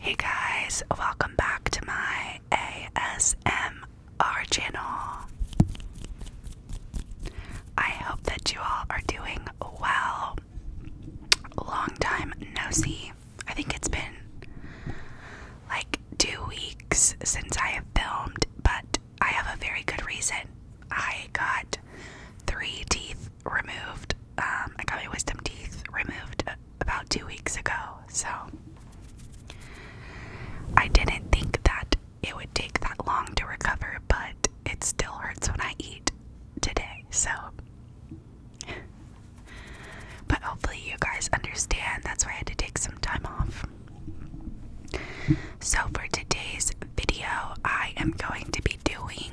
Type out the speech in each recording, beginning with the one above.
Hey guys, welcome back to my ASMR channel. I hope that you all are doing well. Long time no see. I think it's been like two weeks since I have filmed, but I have a very good reason. I got three teeth removed. Um, I got my wisdom teeth removed about two weeks ago, so I didn't think that it would take that long to recover, but it still hurts when I eat today, so. But hopefully, you guys understand that's why I had to take some time off. So, for today's video, I am going to be doing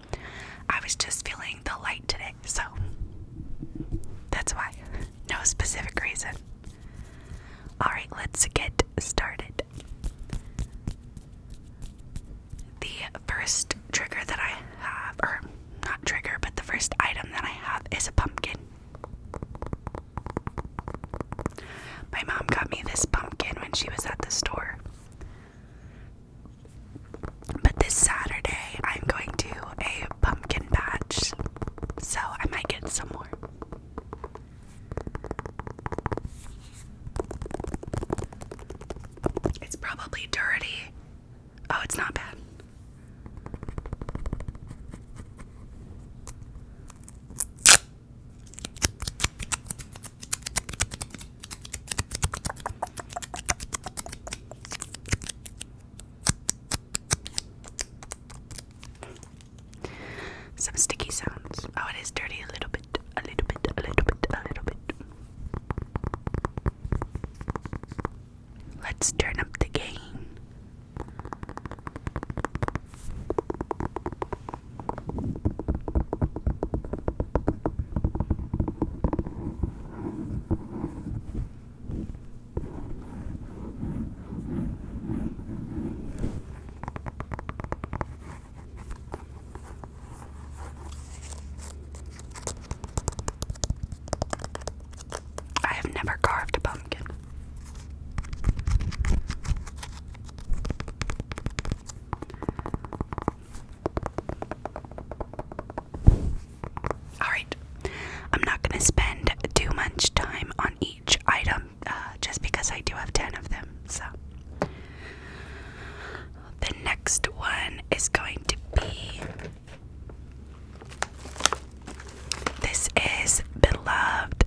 I was just feeling the light today, so that's why. No specific reason. Alright, let's get started. The first trigger that I have, or not trigger, but the first item that I have is a pumpkin. My mom got me this pumpkin when she was at the store. But this Saturday, I'm going to a pumpkin patch, so I might get some more. It's probably dirty. Oh, it's not bad. Some sticky sounds. Oh, it is dirty a little bit, a little bit, a little bit, a little bit. Let's turn up the gain. I have never carved a pumpkin. Alright, I'm not going to spend too much time on each item uh, just because I do have 10 of them. So, the next one is going to be this is beloved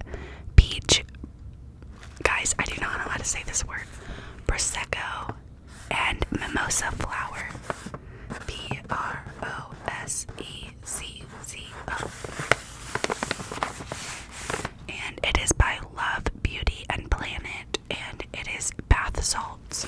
peach guys, I do not know how to say this word. Prosecco and mimosa flower. B R O S E C C O. And it is by Love, Beauty, and Planet, and it is bath salts.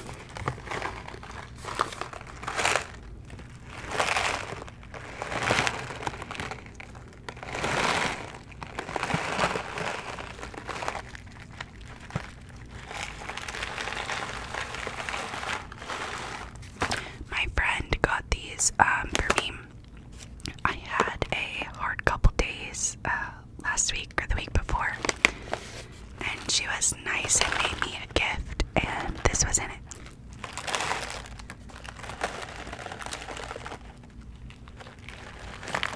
My friend got these um, for me. I had a hard couple days uh, last week or the week before, and she was nice and made me a gift, and this was in it.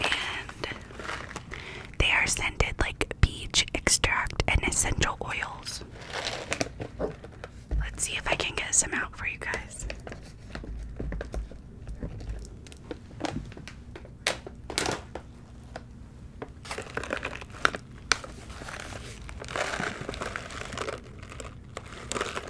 And they are scented like peach extract and essential oils. Let's see if I can get some out for you guys.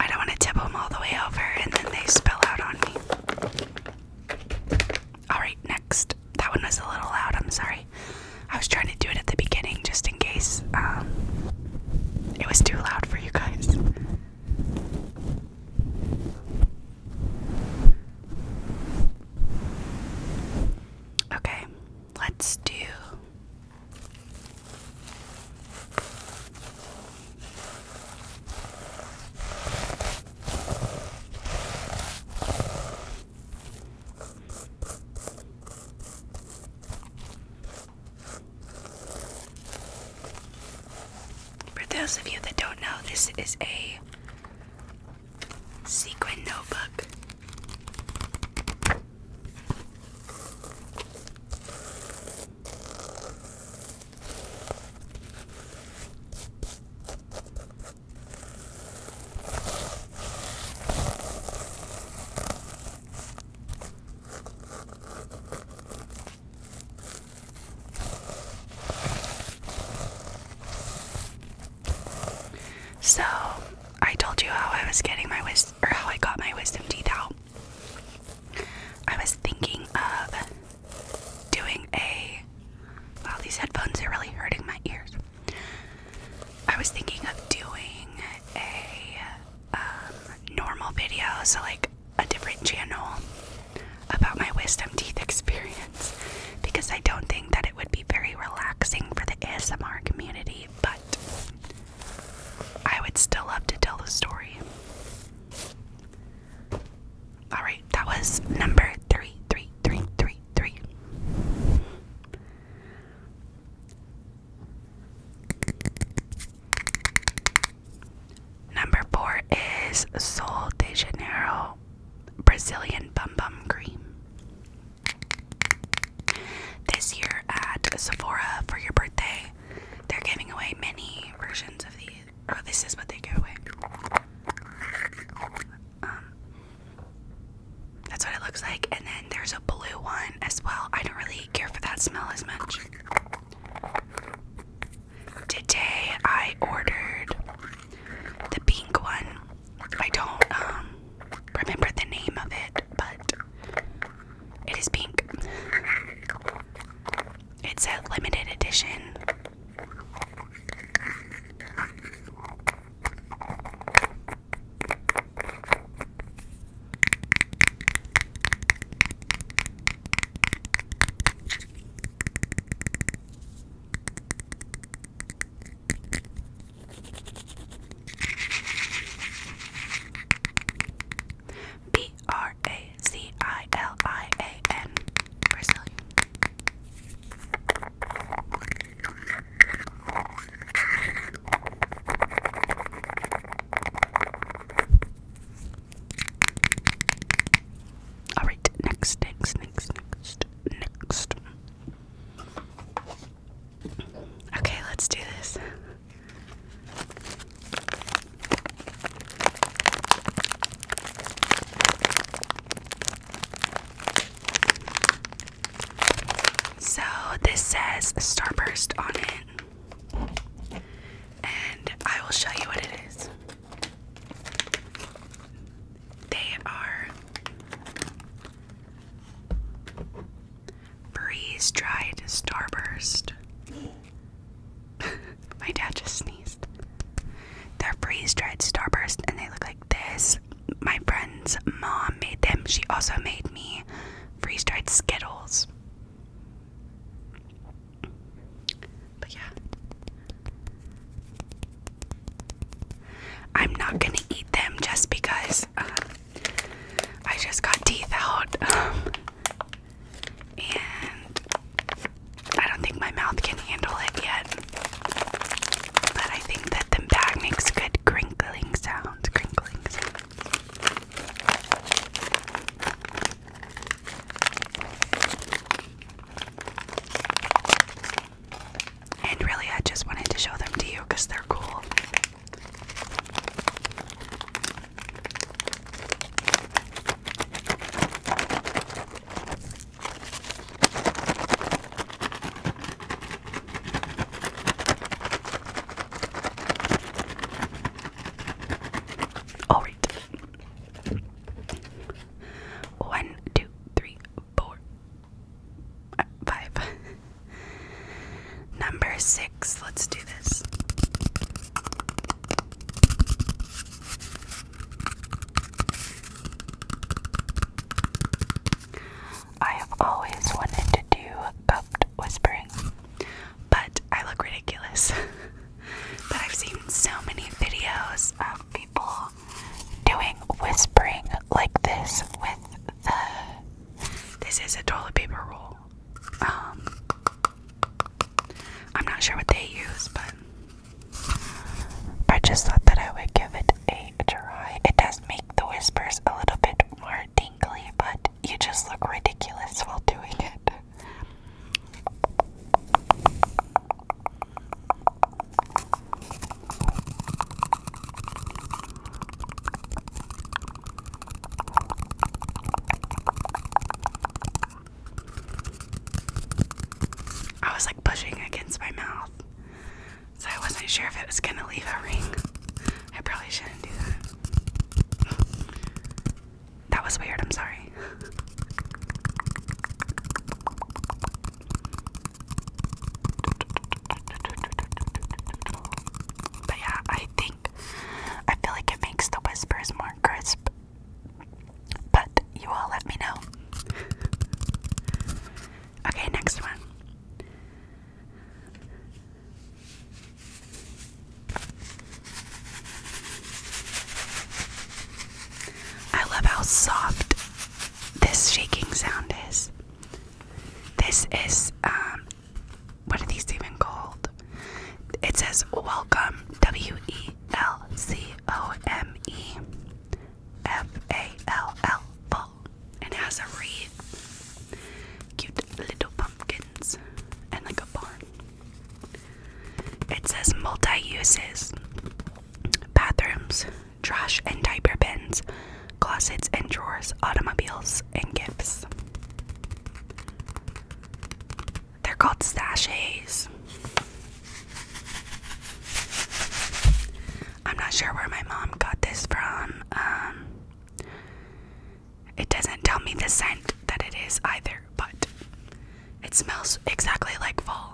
I don't want to tip them all the way over and then they spill out on me. Alright, next. That one was a little loud, I'm sorry. I was trying to do it at the beginning just in case um, it was too loud for you guys. Okay, let's do for those of you that don't know, this is a sequin notebook. So, I told you how I was getting my wisdom or how I got my wisdom teeth out, I was thinking of doing a. Wow, these headphones are really hurting my ears. I was thinking of doing a um, normal video, so like a different channel about my wisdom teeth experience, because I don't think that it would be very relaxing for the ASMR community, but I would still love to tell the story. Alright, that was number three, three, three, three, three. Number four is Sol de Janeiro Brazilian Bum Bum Cream. This year at Sephora for your birthday, they're giving away many versions of these. Oh, this is what they give away. Um, that's what it looks like, and then there's a blue one as well. I don't really care for that smell as much. Today I ordered the pink one I don't um, remember the name of it, but it is pink. It's a limited edition. B R A Z I L I A N Brazilian. right, next, next, next, next, next. Okay, let's do this. So, this says Starburst on it, and I will show you what it is. They are Freeze dried Starburst. My dad just sneezed. They're freeze dried Starburst and they look like this. My friend's mom made them. She also made me freeze dried Skittles. But yeah. I'm not gonna eat them just because uh, I just got teeth out, and I don't think my mouth can handle it yet. But I think that the bag makes good crinkling sounds. Crinkling sounds. And really, I just wanted to show them to you because they're cool. All right. One, two, three, four, Five. Number six. Let's do this. I have always wanted to do cupped whispering, but I look ridiculous. but I've seen so many videos of people doing whispering like this with the. This is a toilet paper roll. Um, I'm not sure what they use, but I just thought that I would give it a try. It does make the whispers a little bit more tingly, but you just look ridiculous while doing it. I was like pushing against my mouth, so I wasn't sure if it was gonna leave a ring. I probably shouldn't do that. That was weird, I'm sorry. But yeah, I think I feel like it makes the whispers more crisp. But you all let me know. okay, next one. I love how soft this shaking sound is. This is, um, what are these even called? It says welcome, W E L C O M E F A L L, full. And it has a wreath, cute little pumpkins, and like a barn. It says multi uses, bathrooms, trash and diaper bins, closets and drawers, automobiles, and gifts. They're called stashes. I'm not sure where my mom got this from. Um, it doesn't tell me the scent that it is either, but it smells exactly like fall.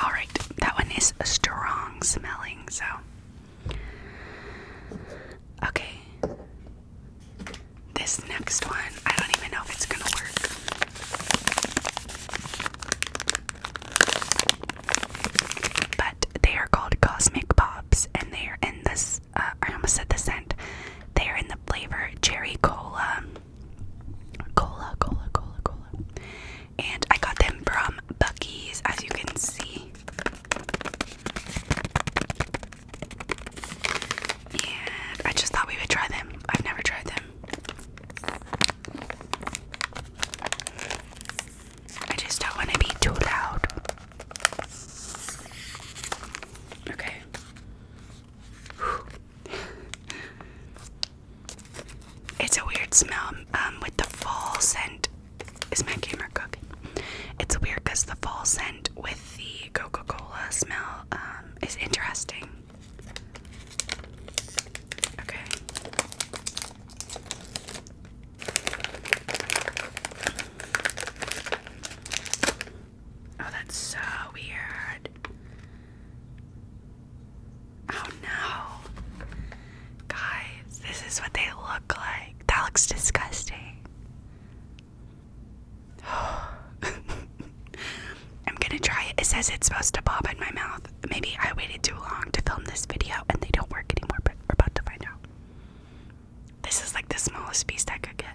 All right, that one is a strong smelling, so. Okay. This next one, I don't even know if it's going to work. But they are called Cosmic Pops, and they are in this. Uh, I almost said the scent. They are in the flavor cherry cola, cola, cola, cola, cola. And I got them from Bucky's, as you can see. And I just thought we would try them. I've never tried them. I just don't want to be too loud. Okay. It's a weird smell um, with the fall scent. Is my gamer cooking? It's weird because the fall scent with the Coca Cola smell um, is interesting. Okay. Oh, that's so weird. Oh no. Guys, this is what they look like. That looks disgusting. I'm gonna try it. It says it's supposed to pop in my mouth. Maybe I waited too long to film this video and they don't work anymore, but we're about to find out. This is like the smallest piece I could get.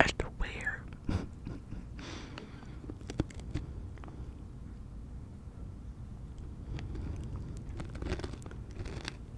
As to where?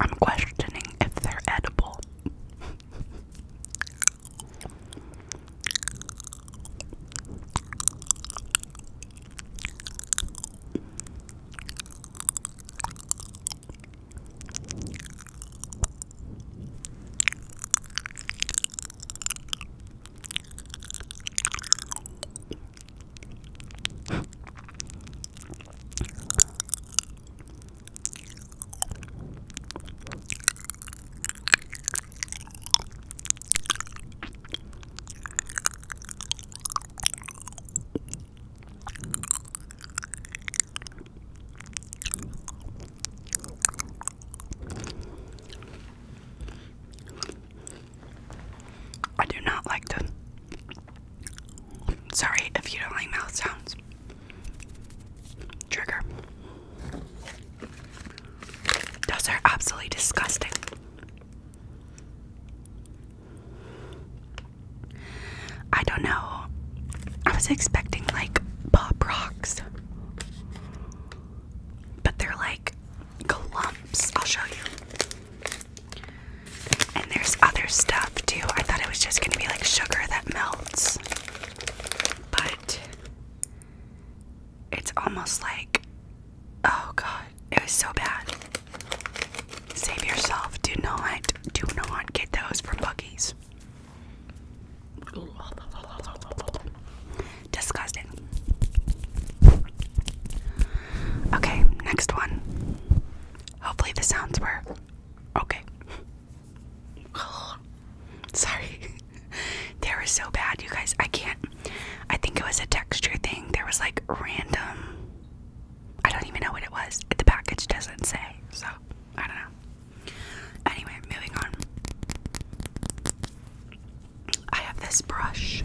I'm questioning if they're edible. I do not like to Sorry if you don't like mouth sounds. Trigger. Those are absolutely disgusting. I don't know. I was expecting like pop rocks, but they're like clumps. I'll show you. And there's other stuff too. I thought it was just going to be like sugar that melts. But it's almost like, oh god, it was so bad. Save yourself. Do not, do not get those from buc Disgusting. Okay, next one. Hopefully, the sounds were okay. Sorry, they were so bad, you guys. I can't. I think it was a texture thing. There was like random. I don't even know what it was. The package doesn't say, so I don't know. Anyway, moving on. I have this brush.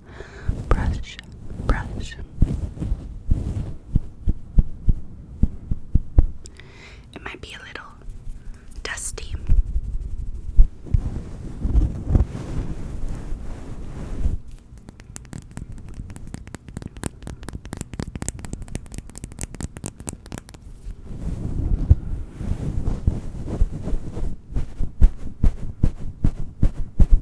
brush, brush. It might be a little dusty.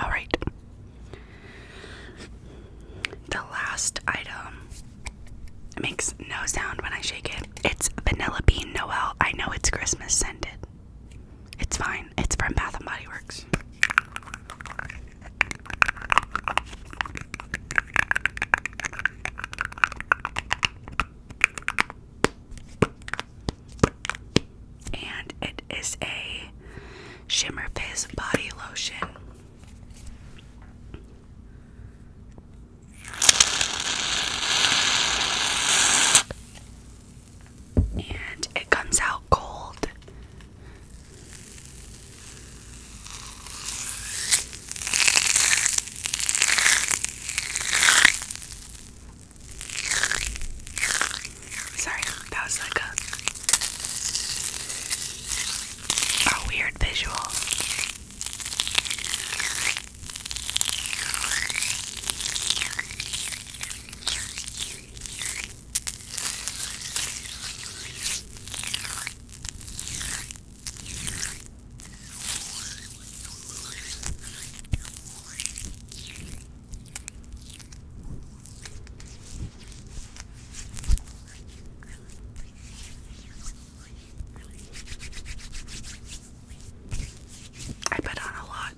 All right. The last item it makes no sound when I shake it. It's Vanilla Bean Noel. I know it's Christmas scented. It's fine. It's from Bath and Body Works. And it is a Shimmer Fizz body lotion. And it comes out cold. Sorry, that was like a a weird visual. I bet on a lot.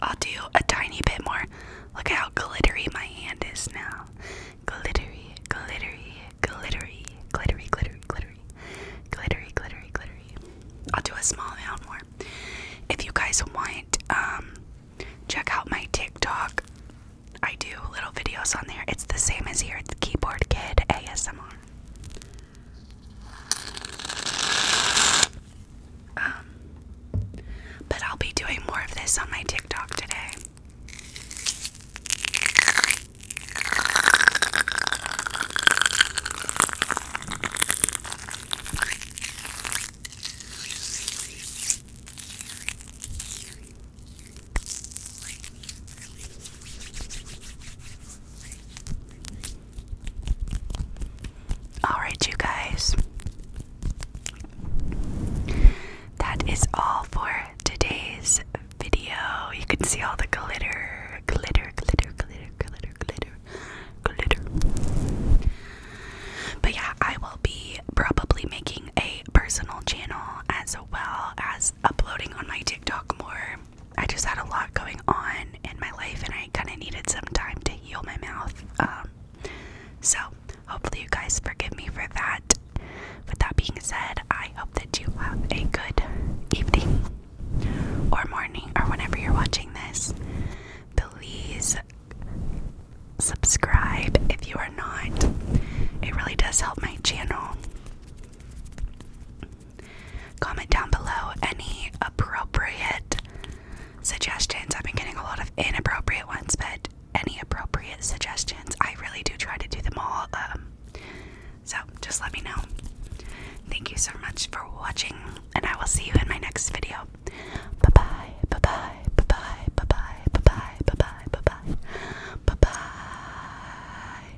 I'll do a tiny bit more. Look at how glittery my hand is now. Glittery, glittery, glittery, glittery, glittery, glittery, glittery, glittery, glittery. I'll do a small amount more. If you guys want, um, check out my TikTok. I do little videos on there. It's the same as here. It's Keyboard Kid ASMR. Um, but I'll be doing more of this on my TikTok today. All right, you guys. That is all for today's video. You can see all the glitter, glitter, glitter, glitter, glitter, glitter, glitter. But yeah, I will be probably making a personal channel as well as uploading on my TikTok more I just had a lot going on in my life, and I kind of needed some time to heal my mouth. Um, so, hopefully, you guys forgive me for that. With that being said, I hope that you have a good evening or morning or whenever you're watching this. Please subscribe if you are not, it really does help my channel. Comment down below any appropriate suggestions. I've been getting a lot of inappropriate ones, but any appropriate suggestions. I really do try to do them all. Um, so just let me know. Thank you so much for watching, and I will see you in my next video. Bye bye, bye bye, bye bye, bye bye, bye bye, bye bye, bye bye, bye bye.